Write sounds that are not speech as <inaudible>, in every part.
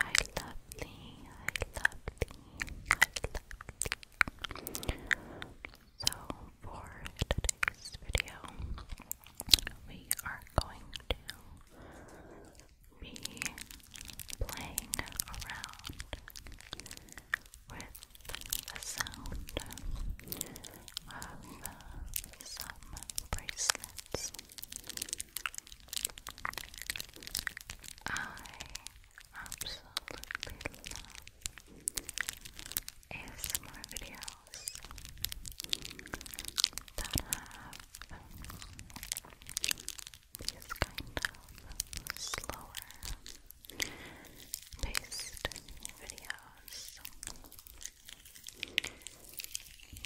I love thee, I love thee. So for today's video, we are going to be playing around with the sound of some bracelets. I absolutely love ASMR videos that have these kind of slower paced videos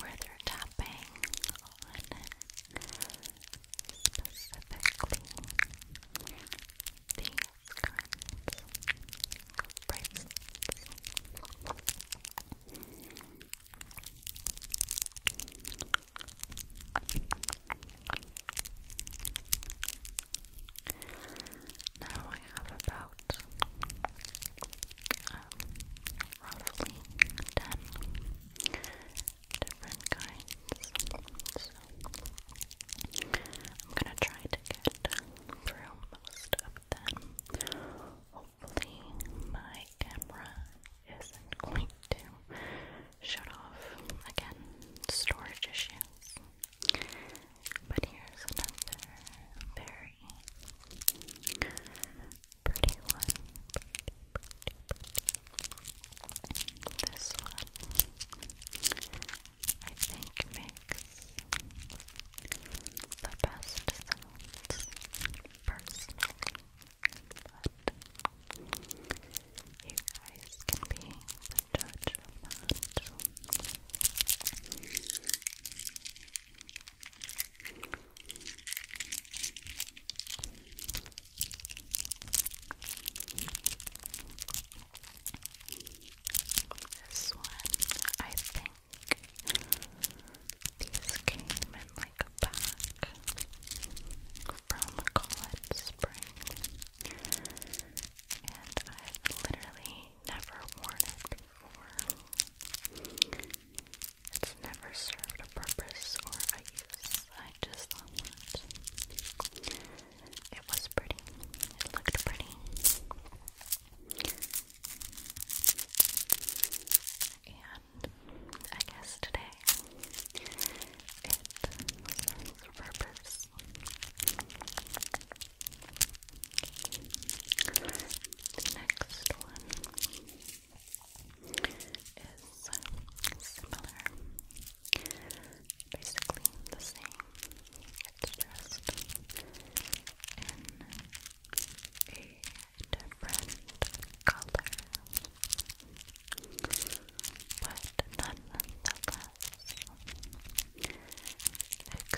where they're tapping on specifically these kinds of bracelets. Now I have about um, roughly 10 different kinds. I'm gonna try to get through most of them. Hopefully, my camera isn't going to shut off again. Storage issues. But here's another very pretty one. This one, I think, makes the best sounds personally. But you guys can be the judge of this one, I think these came in like a pack from College Spring, and I've literally never worn it before. It's never served a purpose or a use. I just love it. It was pretty. It looked pretty. And I guess today it serves a purpose. The next one is similar, basically the same. just in a different color, but nonetheless extremely tingly,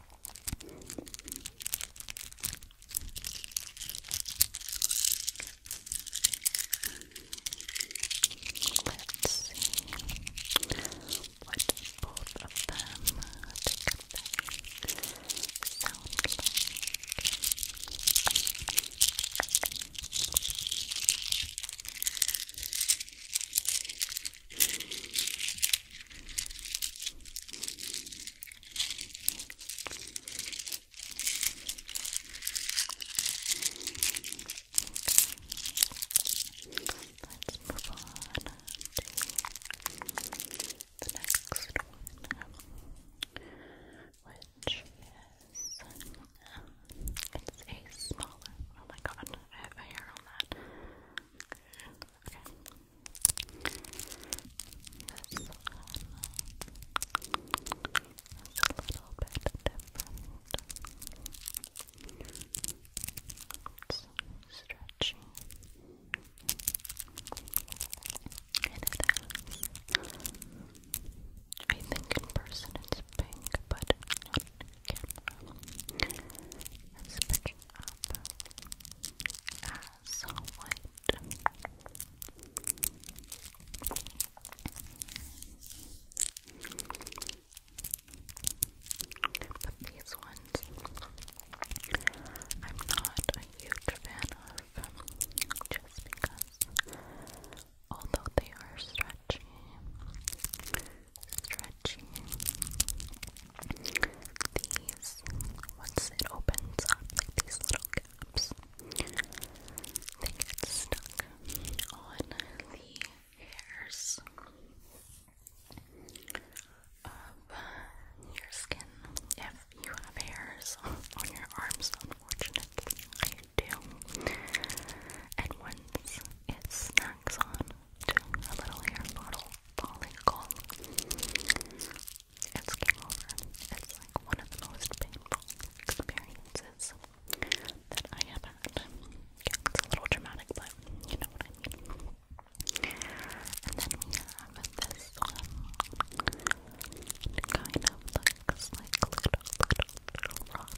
Let's see what both of them sound like. Let's move on to the next one, which is um, it's a smaller. Oh my god, I have a hair on that. Okay. This a little bit different. It's stretchy. And it I think in person it's pink, but camera picking up as white. But these ones, I'm not a huge fan of just because, although they are stretchy, stretchy, these, once it opens up, like these little caps, they get stuck on the hairs of your skin. If you have hairs on your arms, unfortunately, I do. And once it snacks on a little hair bottle, follicle. It's game over. It's like one of the most painful experiences that I have had. Yeah, it's a little dramatic, but you know what I mean. And then we have this one. It kind of looks like little, little, little rocks.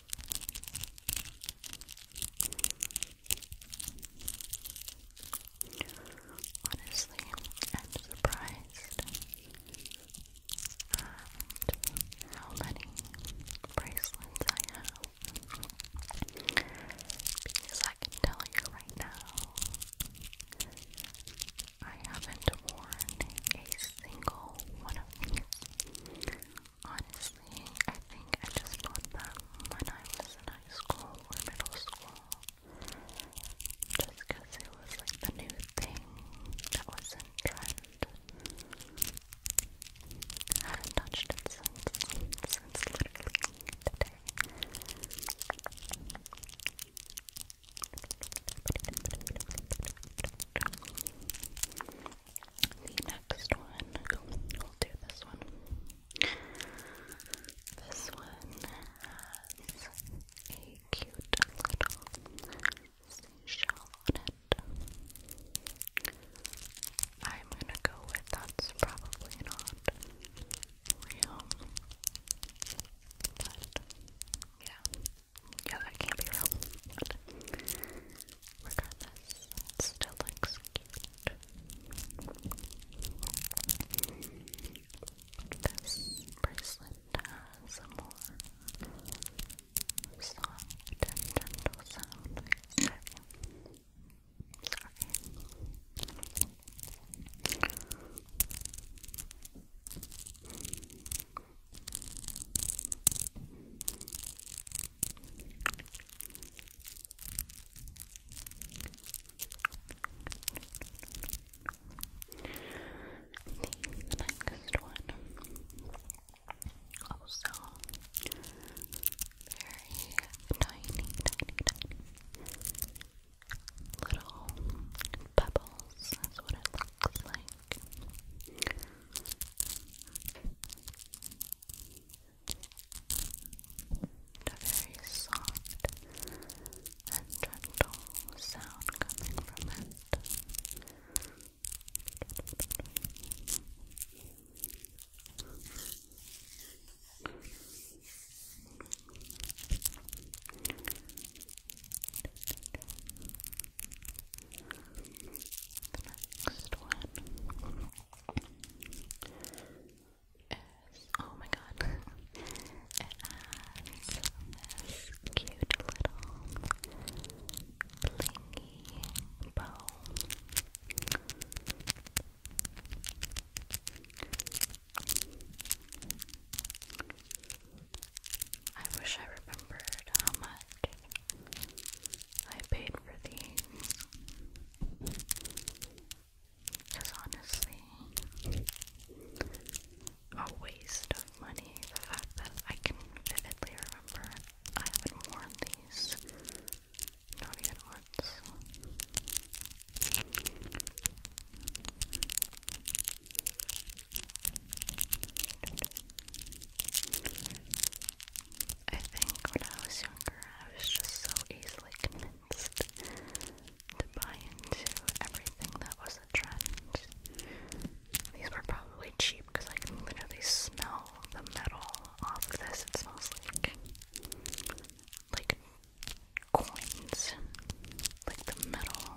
Honestly, I'm surprised at um, how many bracelets I have. Because I can tell you right now, I haven't worn a single one of these. Honestly, I think I just got them when I was in high school or middle school. Just because it was like the new thing that was in trend. I haven't touched it since, since literally today. The next one, we'll do this one. This one has a cute little seashell on it. I'm gonna go with that's probably not real, but yeah. Yeah, that can't be real. regardless, it still looks cute. This bracelet has a more soft gentle sound. Sorry. The next one also very tiny, tiny, tiny little pebbles. That's what it looks like. A very soft and gentle sound coming from it next one is, oh my god, <laughs> it has this cute little blingy bow. I wish I remembered how much I paid for these. Because honestly, a waste of money. The fact that I can vividly remember I haven't worn these, not even once. I think when I was younger, I was just so easily convinced to buy into everything that was a trend. These were probably cheap because I can literally smell the metal off of this. It smells like like coins, like the metal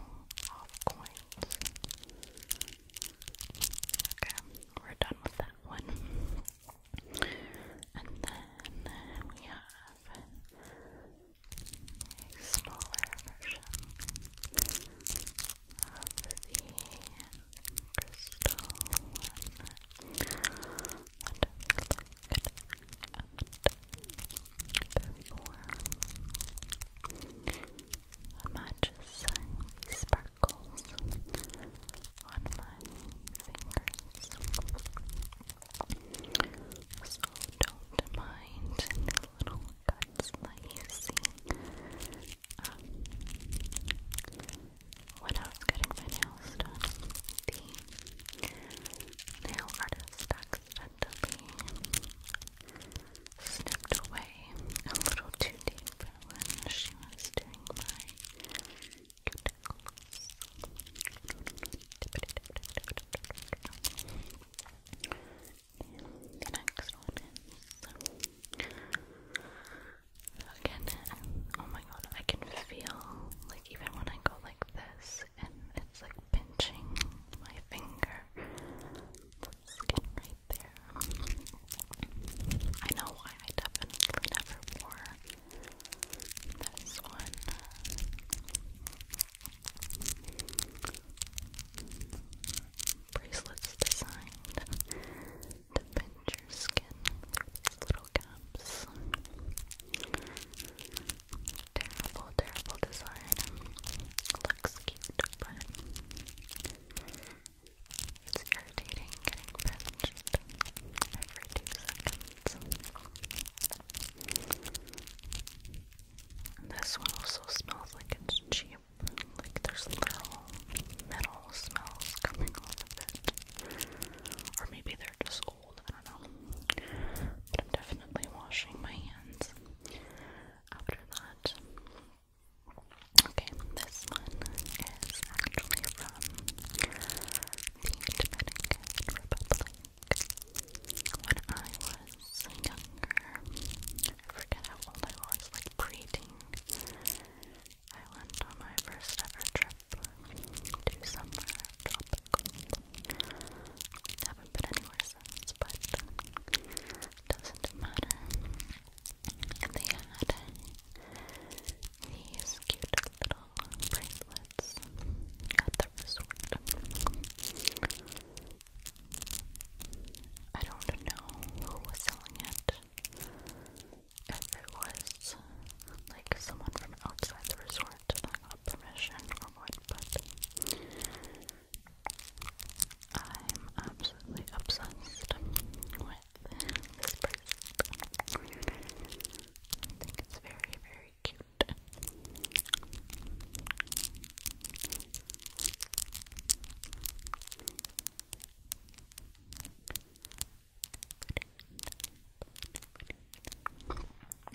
off coins. Okay, we're done with that one. And then we have a smaller version of the crystal one. Wonderful. Before matches the sparkles on my fingers. So don't mind the little cuts that you see. Um, I was getting my nails done, the nail artist accidentally snipped away a little too deep when she was doing my cuticles. the next one is again. Oh my god, I can feel like even when I go like this, and it's like pinching my finger skin right there. I know why I definitely never wore this one. Bracelets designed to pinch your skin through these little gaps. Terrible, terrible design. Looks cute, but it's getting pinched every two seconds. This one also smells like it's cheap. Like there's little metal smells coming off of it. Or maybe they're just old, I don't know. But I'm definitely washing my hands. After that, Okay, this one is actually from the Dominican Republic. When I was younger, I forget how old I was, like preteen, I went on my first ever trip to somewhere tropical. Haven't been anywhere since, but doesn't matter. They had these cute little bracelets at the resort. I don't know who was selling it. If it was like someone from outside the resort that got permission or what, but I'm absolutely obsessed with this purse. I think it's very, very cute.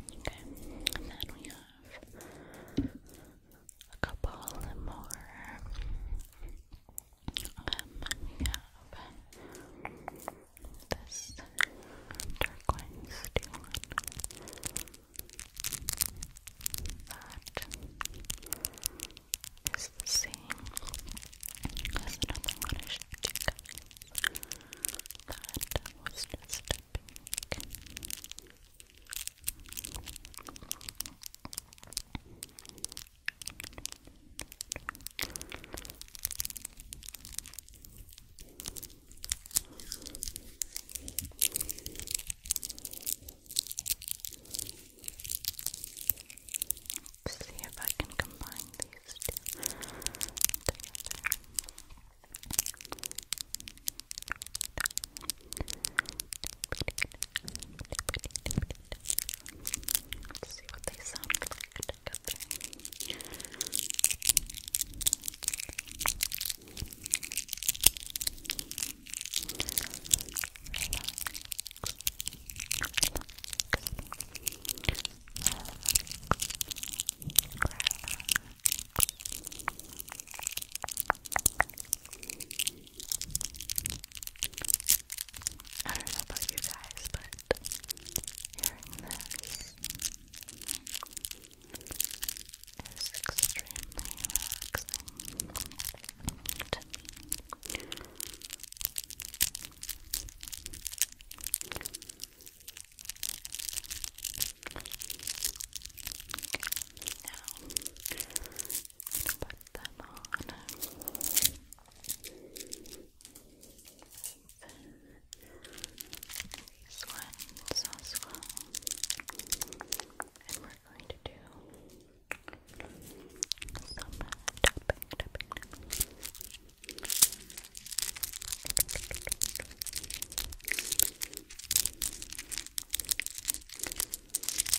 Okay, then we have a couple more. Um, we have this turquoise steel that is the same as another one I showed you that was just Let's see if I can combine these two together. Let's see what they sound like together. Relax. Relax. I don't know about you guys, but hearing this is extremely relaxing put them on. These ones as well. And we're going to do some Take these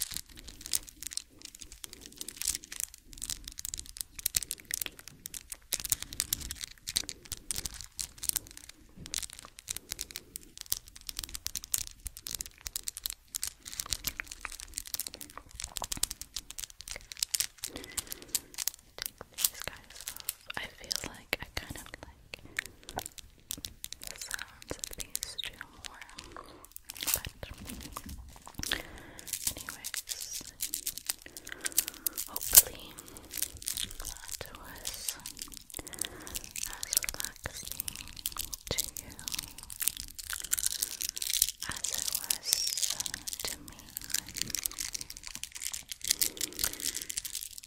guys off. I feel like I kind of like the sounds of these two more. But, anyways, hopefully, that was as relaxing to you as it was to me.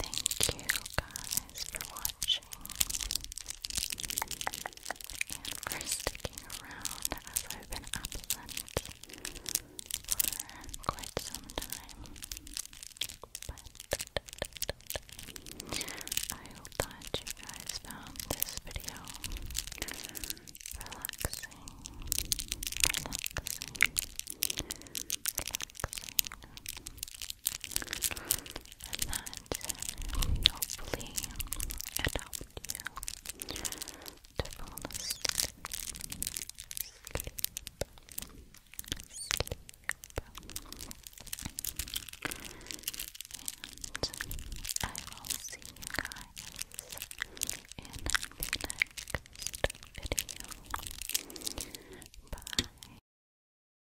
Thank you guys for watching and for sticking around as I've been absent for quite some time. But I hope that you guys found this video relaxing, relaxing, relaxing and hopefully it you to fall asleep. Sleep. Sleep. And I will see you guys in the next video. Bye.